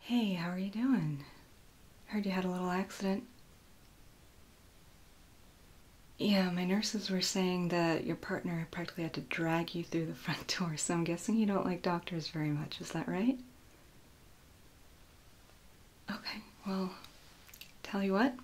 Hey, how are you doing? Heard you had a little accident. Yeah, my nurses were saying that your partner practically had to drag you through the front door, so I'm guessing you don't like doctors very much, is that right? Okay, well, tell you what,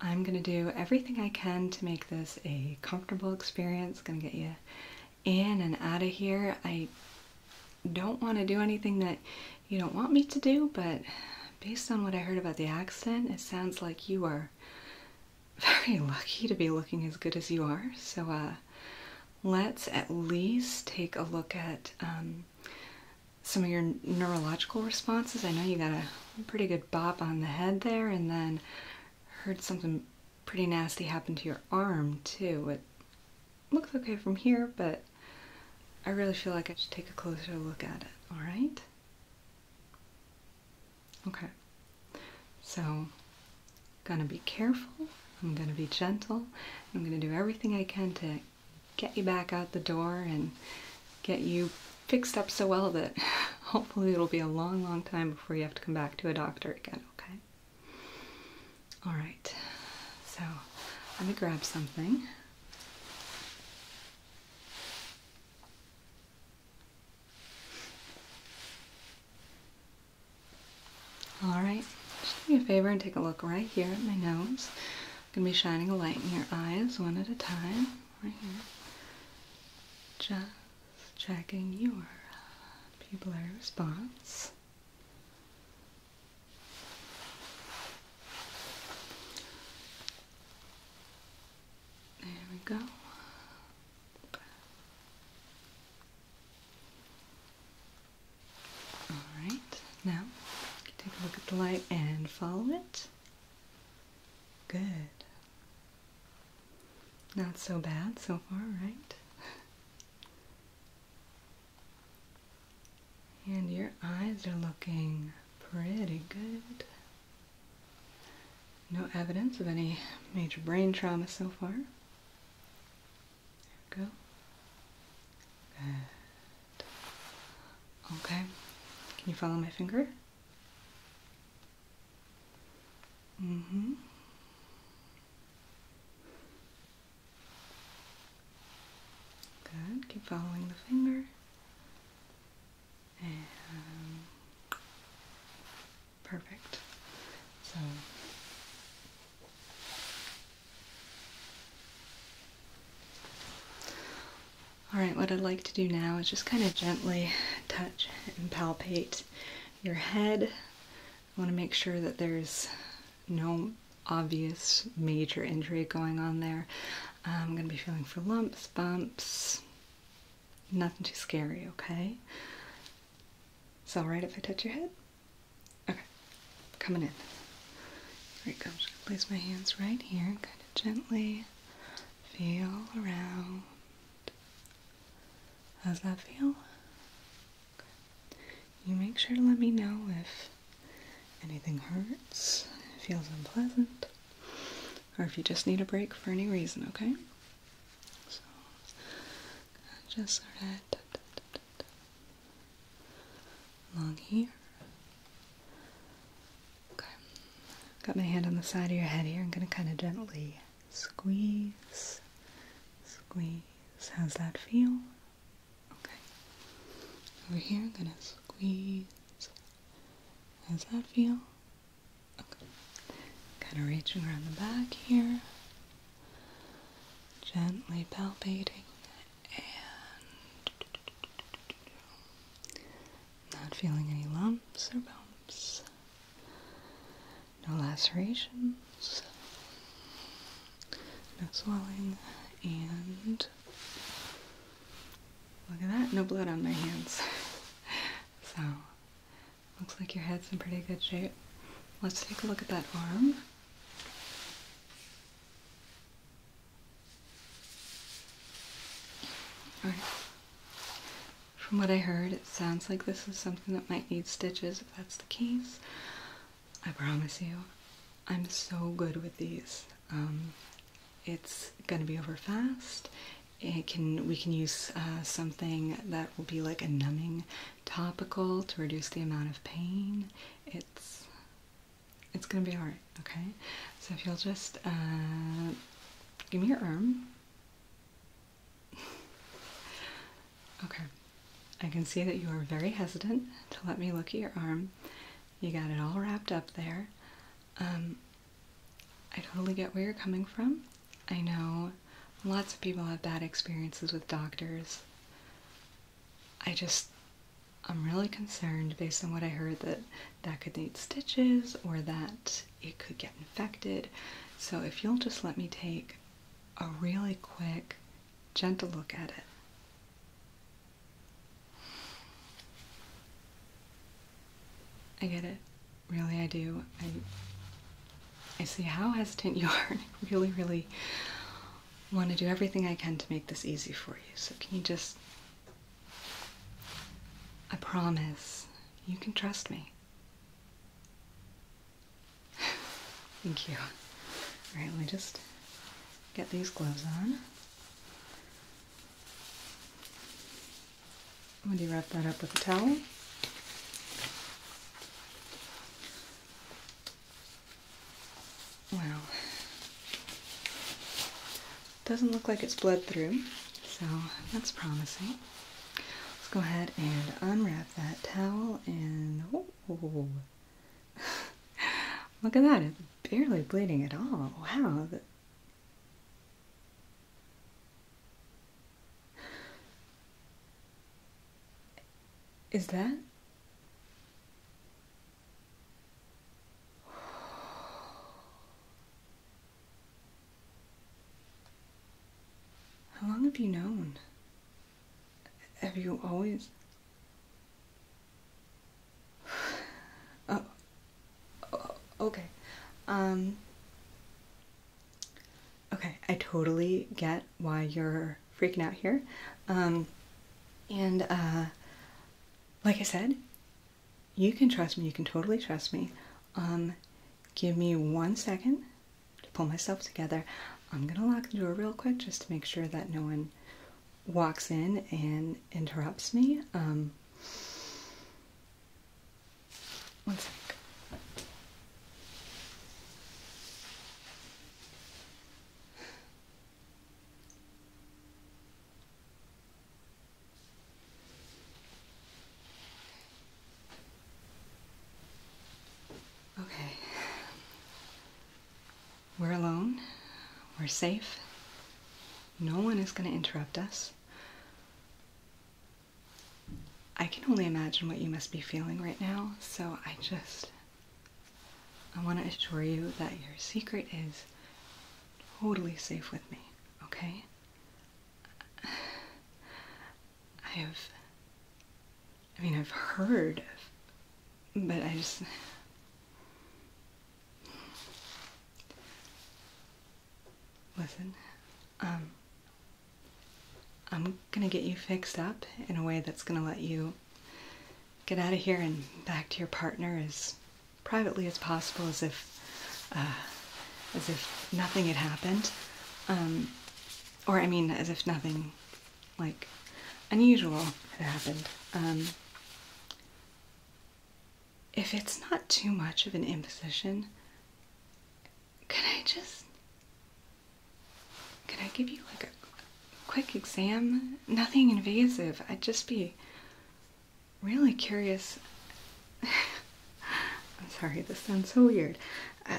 I'm gonna do everything I can to make this a comfortable experience, gonna get you in and out of here. I don't want to do anything that you don't want me to do, but based on what I heard about the accident, it sounds like you are very lucky to be looking as good as you are. So uh, let's at least take a look at um, some of your neurological responses. I know you got a pretty good bop on the head there, and then heard something pretty nasty happen to your arm too. It looks okay from here, but I really feel like I should take a closer look at it, alright? Okay, so gonna be careful, I'm gonna be gentle, I'm gonna do everything I can to get you back out the door and get you fixed up so well that hopefully it'll be a long, long time before you have to come back to a doctor again, okay? All right, so let me grab something. All right, just do me a favor and take a look right here at my nose. going to be shining a light in your eyes one at a time, right here. Just checking your pupilar response. There we go. All right, now take a look at the light and follow it. Good. Not so bad so far, right? And your eyes are looking pretty good. No evidence of any major brain trauma so far. There we go. Okay. Can you follow my finger? Mm-hmm. Good. Keep following the finger. perfect. So Alright, what I'd like to do now is just kind of gently touch and palpate your head. I want to make sure that there's no obvious major injury going on there. Um, I'm going to be feeling for lumps, bumps, nothing too scary, okay? It's alright if I touch your head? Okay, coming in. Here it comes. Place my hands right here, kind of gently. Feel around. How's that feel? you make sure to let me know if anything hurts, feels unpleasant, or if you just need a break for any reason, okay? So, just sort of da, da, along here. Okay, got my hand on the side of your head here. I'm going to kind of gently squeeze, squeeze. How's that feel? Okay. Over here, I'm gonna squeeze. How does that feel? Okay. Kind of reaching around the back here. Gently palpating and not feeling any lumps or bumps. No lacerations. No swelling, and look at that, no blood on my hands. so, looks like your head's in pretty good shape. Let's take a look at that arm. Alright. From what I heard, it sounds like this is something that might need stitches if that's the case. I promise you, I'm so good with these. Um, it's gonna be over fast. It can we can use uh, something that will be like a numbing topical to reduce the amount of pain. It's it's gonna be alright. Okay, so if you'll just uh, give me your arm. okay, I can see that you are very hesitant to let me look at your arm. You got it all wrapped up there. Um, I totally get where you're coming from. I know lots of people have bad experiences with doctors. I just, I'm really concerned based on what I heard that that could need stitches or that it could get infected. So if you'll just let me take a really quick, gentle look at it, I get it. Really, I do. I, I see how hesitant you are. I really, really want to do everything I can to make this easy for you. So, can you just. I promise you can trust me. Thank you. Alright, let me just get these gloves on. Would you wrap that up with a towel? Wow. Doesn't look like it's bled through, so that's promising. Let's go ahead and unwrap that towel and oh, Look at that, it's barely bleeding at all. Wow. Is that? How long have you known? Have you always? Oh, oh, okay. Um, okay, I totally get why you're freaking out here. Um, and uh, like I said, you can trust me. You can totally trust me. Um, give me one second to pull myself together. I'm gonna lock the door real quick just to make sure that no one walks in and interrupts me. Um, Okay. We're alone. We're safe. No one is going to interrupt us. I can only imagine what you must be feeling right now, so I just. I want to assure you that your secret is totally safe with me, okay? I have. I mean, I've heard But I just. Listen, um, I'm gonna get you fixed up in a way that's gonna let you get out of here and back to your partner as privately as possible, as if, uh, as if nothing had happened. Um, or I mean, as if nothing, like, unusual had happened. Um, if it's not too much of an imposition, could I just could I give you like a quick exam? Nothing invasive. I'd just be really curious. I'm sorry, this sounds so weird. Uh,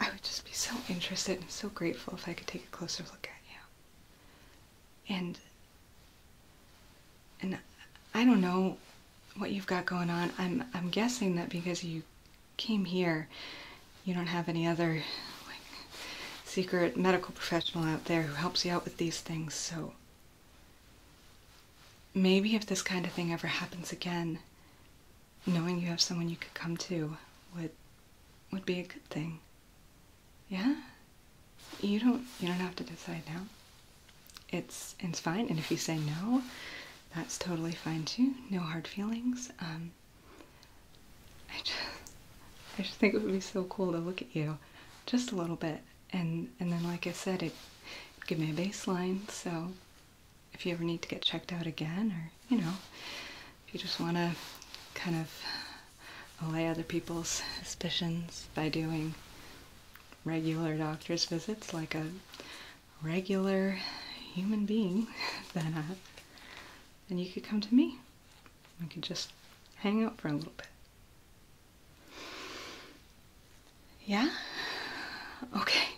I would just be so interested and so grateful if I could take a closer look at you and and I don't know what you've got going on. I'm I'm guessing that because you came here, you don't have any other secret medical professional out there who helps you out with these things. So maybe if this kind of thing ever happens again, knowing you have someone you could come to would would be a good thing. Yeah. You don't you don't have to decide now. It's it's fine, and if you say no, that's totally fine too. No hard feelings. Um I just I just think it would be so cool to look at you just a little bit. And and then like I said, it give me a baseline, so if you ever need to get checked out again or, you know, if you just wanna kind of allay other people's suspicions by doing regular doctor's visits like a regular human being, then uh, then you could come to me. We could just hang out for a little bit. Yeah? Okay.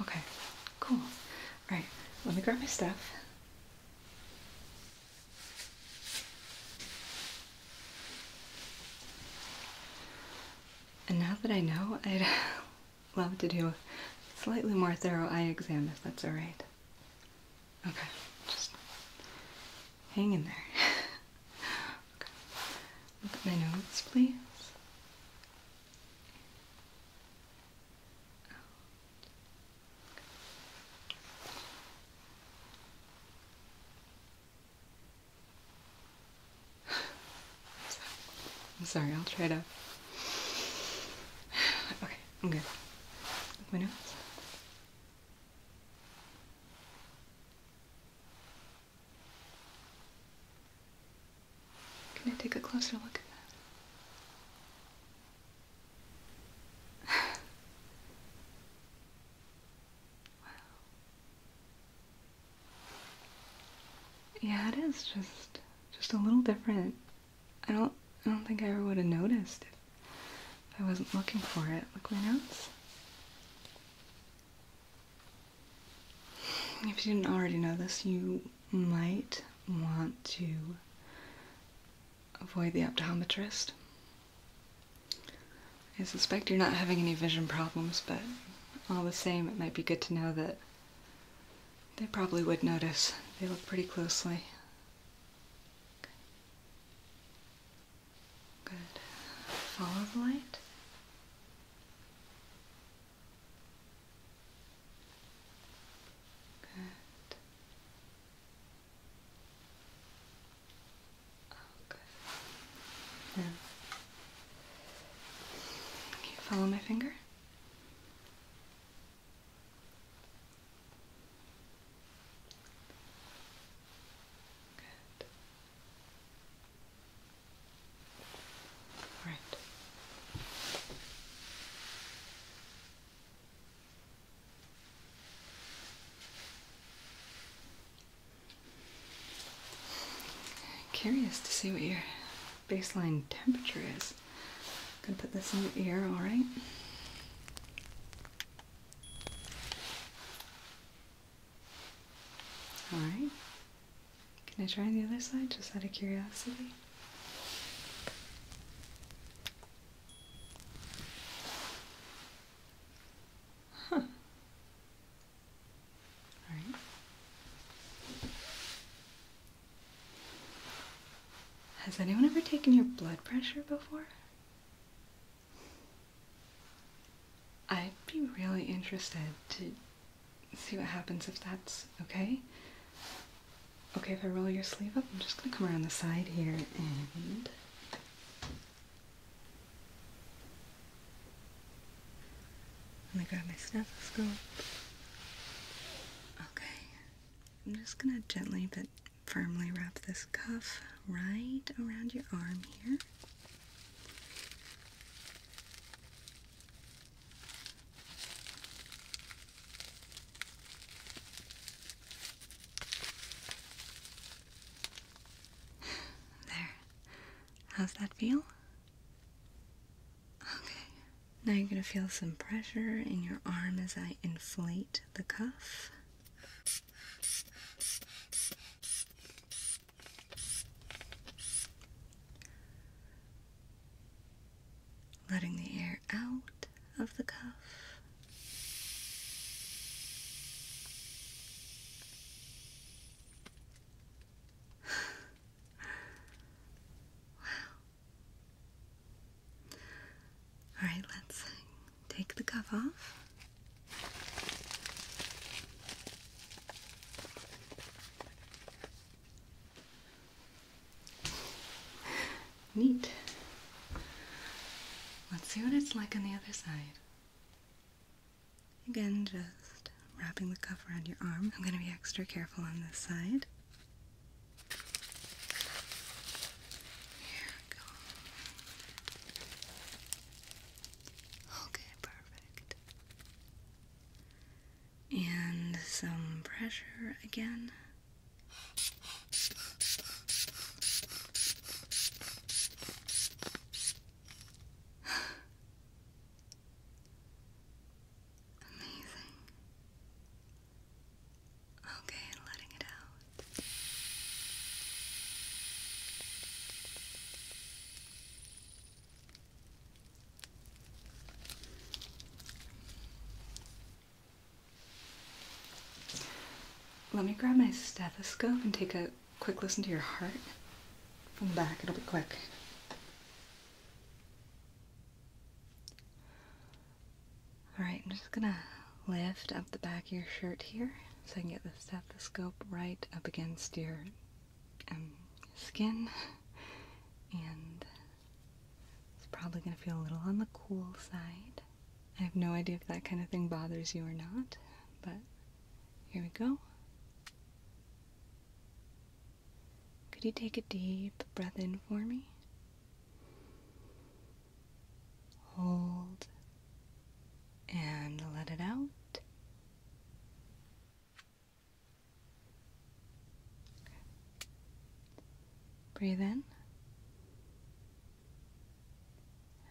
Okay. Cool. All right. Let me grab my stuff. And now that I know, I'd love to do a slightly more thorough eye exam if that's alright. Okay, just hang in there. Look at my nose, please. I'm sorry, I'll try to. Okay, I'm good. My nose. Can I take a closer look at that? Yeah, it is just just a little different. I don't I don't think I ever would have noticed if, I wasn't looking for it. Look my notes. If you didn't already know this, you might want to avoid the optometrist. I suspect you're not having any vision problems, but all the same, it might be good to know that they probably would notice. They look pretty closely. Good. Follow the light. Good. Okay. Oh, now, can you follow my finger? Good. All right. Curious to see what your baseline temperature is. I'm gonna put this in your ear, alright? Alright. Can I try the other side just out of curiosity? Has anyone ever taken your blood pressure before? I'd be really interested to see what happens if that's okay. Okay, if I roll your sleeve up, I'm just gonna come around the side here and let me grab my stethoscope. Okay. I'm just going to gently but firmly wrap this cuff right around your arm here. There. How's that feel? Okay. Now you're going to feel some pressure in your arm as I inflate the cuff. Letting the air out of the cuff. wow. All right, let's take the cuff off. Neat. Let's see what it's like on the other side. Again, just wrapping the cuff around your arm. I'm going to be extra careful on this side. Here we go. Okay, perfect. And some pressure again. Amazing. Okay, letting it out. Let me grab my stethoscope and take a quick listen to your heart from the back. It'll be quick. Alright, I'm just gonna lift up the back of your shirt here so I can get the stethoscope right up against your um, skin. And it's probably gonna feel a little on the cool side. I have no idea if that kind of thing bothers you or not, but here we go. Could you take a deep breath in for me? Hold and let it out. Breathe in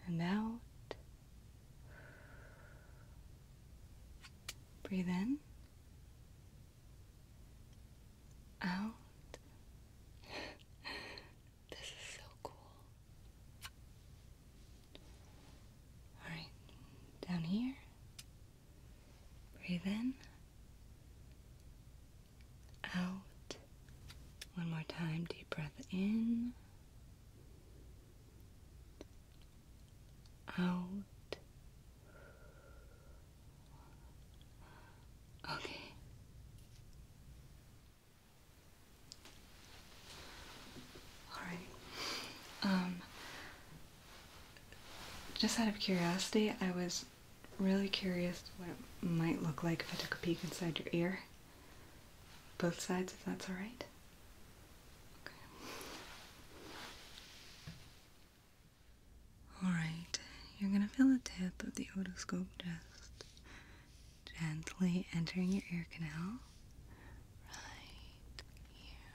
and out. Breathe in, out. this is so cool. All right, down here. Breathe in, out. One more time, deep breath in, out. Okay. All right. Um, just out of curiosity, I was really curious what it might look like if I took a peek inside your ear both sides if that's all right. All right, you're going to feel the tip of the otoscope just gently entering your ear canal. Right here.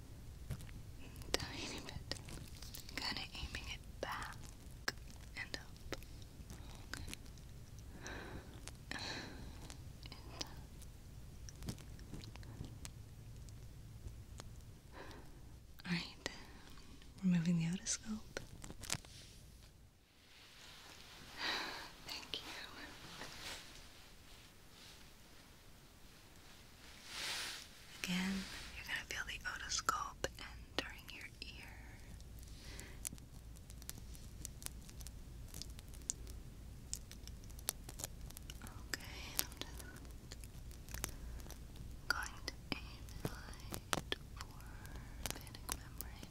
Tiny bit. Kind of aiming it back and up. Alright, removing the otoscope. Thank you. Again, you're going to feel the otoscope entering your ear. Okay, I'm just going to aim the for panic membrane.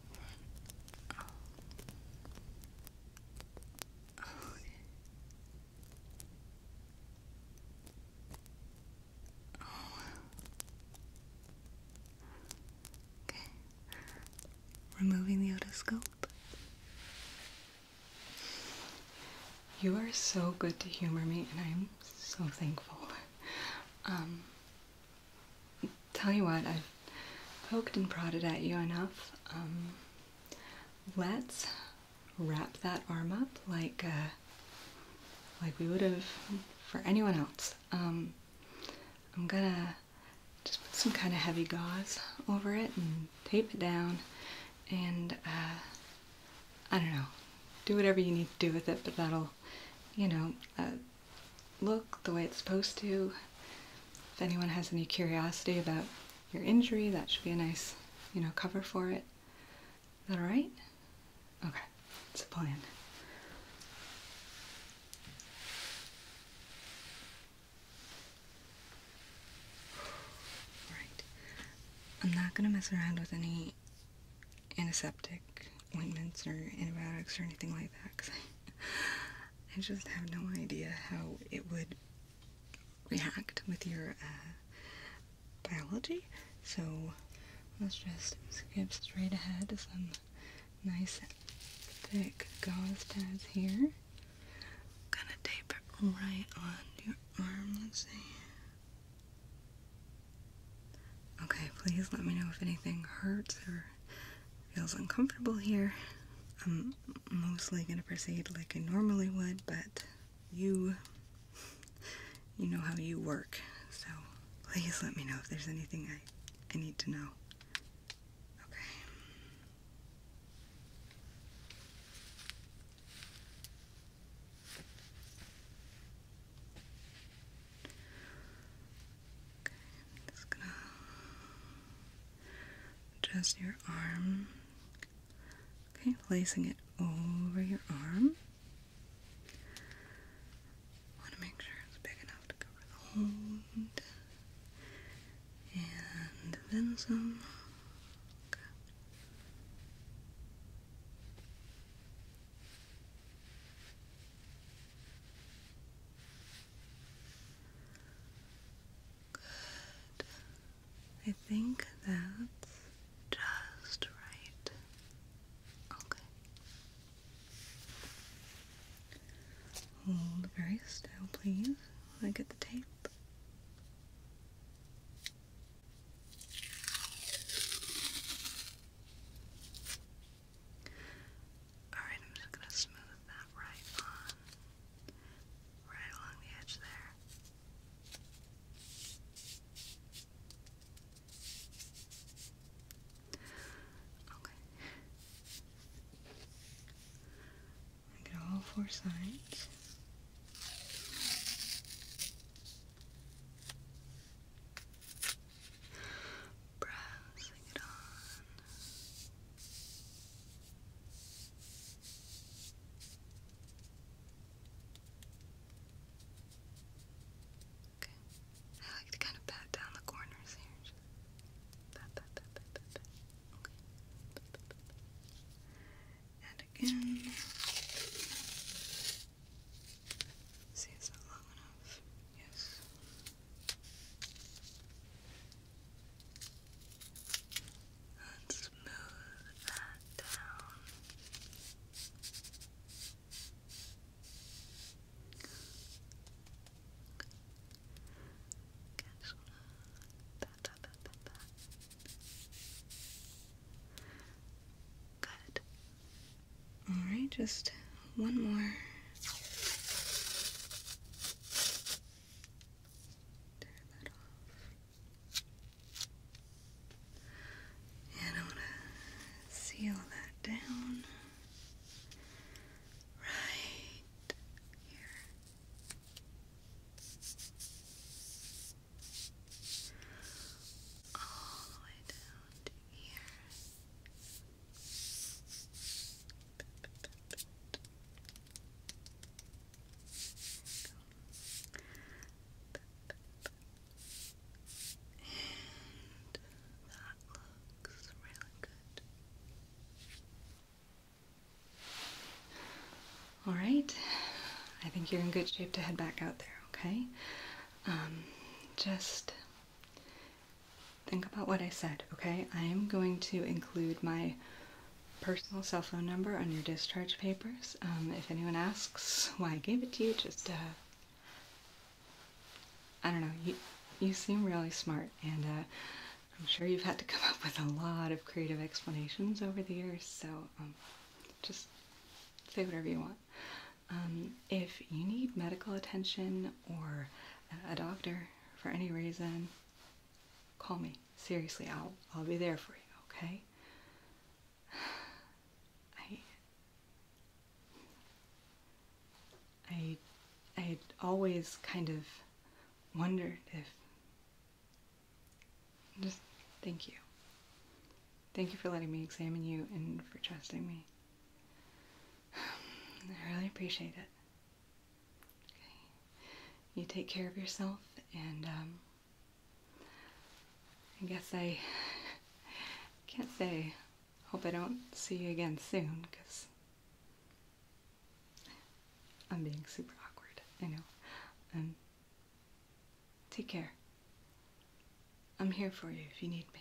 Removing the otoscope. You are so good to humor me, and I'm so thankful. Um, tell you what, I have poked and prodded at you enough. Um, let's wrap that arm up like uh, like we would have for anyone else. Um, I'm gonna just put some kind of heavy gauze over it and tape it down and uh, I don't know, do whatever you need to do with it, but that'll, you know, uh, look the way it's supposed to. If anyone has any curiosity about your injury, that should be a nice, you know, cover for it. Is that alright? Okay, it's a plan. Alright. I'm not gonna mess around with any antiseptic ointments or antibiotics or anything like that I just have no idea how it would react with your uh, biology. So let's just skip straight ahead to some nice thick gauze pads here. gonna tape it right on your arm. Let's see. Okay, please let me know if anything hurts or feels uncomfortable here. I'm mostly going to proceed like I normally would, but you, you know how you work, so please let me know if there's anything I, I need to know. Okay just gonna adjust your arm. Okay, placing it over your arm. Want to make sure it's big enough to cover the hold. And then some. Good. I think that's just right. Okay. Hold very still, please. I get the tape. Alright, I'm just gonna smooth that right on, right along the edge there. Okay. get all four sides. Okay. I like to kind of pat down the corners here. Okay. And again. See, it's not long enough. Yes. Let's smooth that down. Good. All right, just one more. Turn that off. And I want to seal that down right here. All the way down here that looks really good. All right, I think you're in good shape to head back out there, okay? Um, just think about what I said, okay? I am going to include my personal cell phone number on your discharge papers. Um, if anyone asks why I gave it to you, just, uh, I don't know, you, you seem really smart, and uh, I'm sure you've had to come up with a lot of creative explanations over the years, so um, just say whatever you want. Um, if you need medical attention or a doctor, for any reason, call me. Seriously, I'll I'll be there for you, okay? I I I always kind of wondered if just thank you. Thank you for letting me examine you and for trusting me. I really appreciate it. Okay. You take care of yourself, and um, I guess I can't say. Hope I don't see you again soon, because I'm being super awkward. I know. Um, take care. I'm here for you if you need me.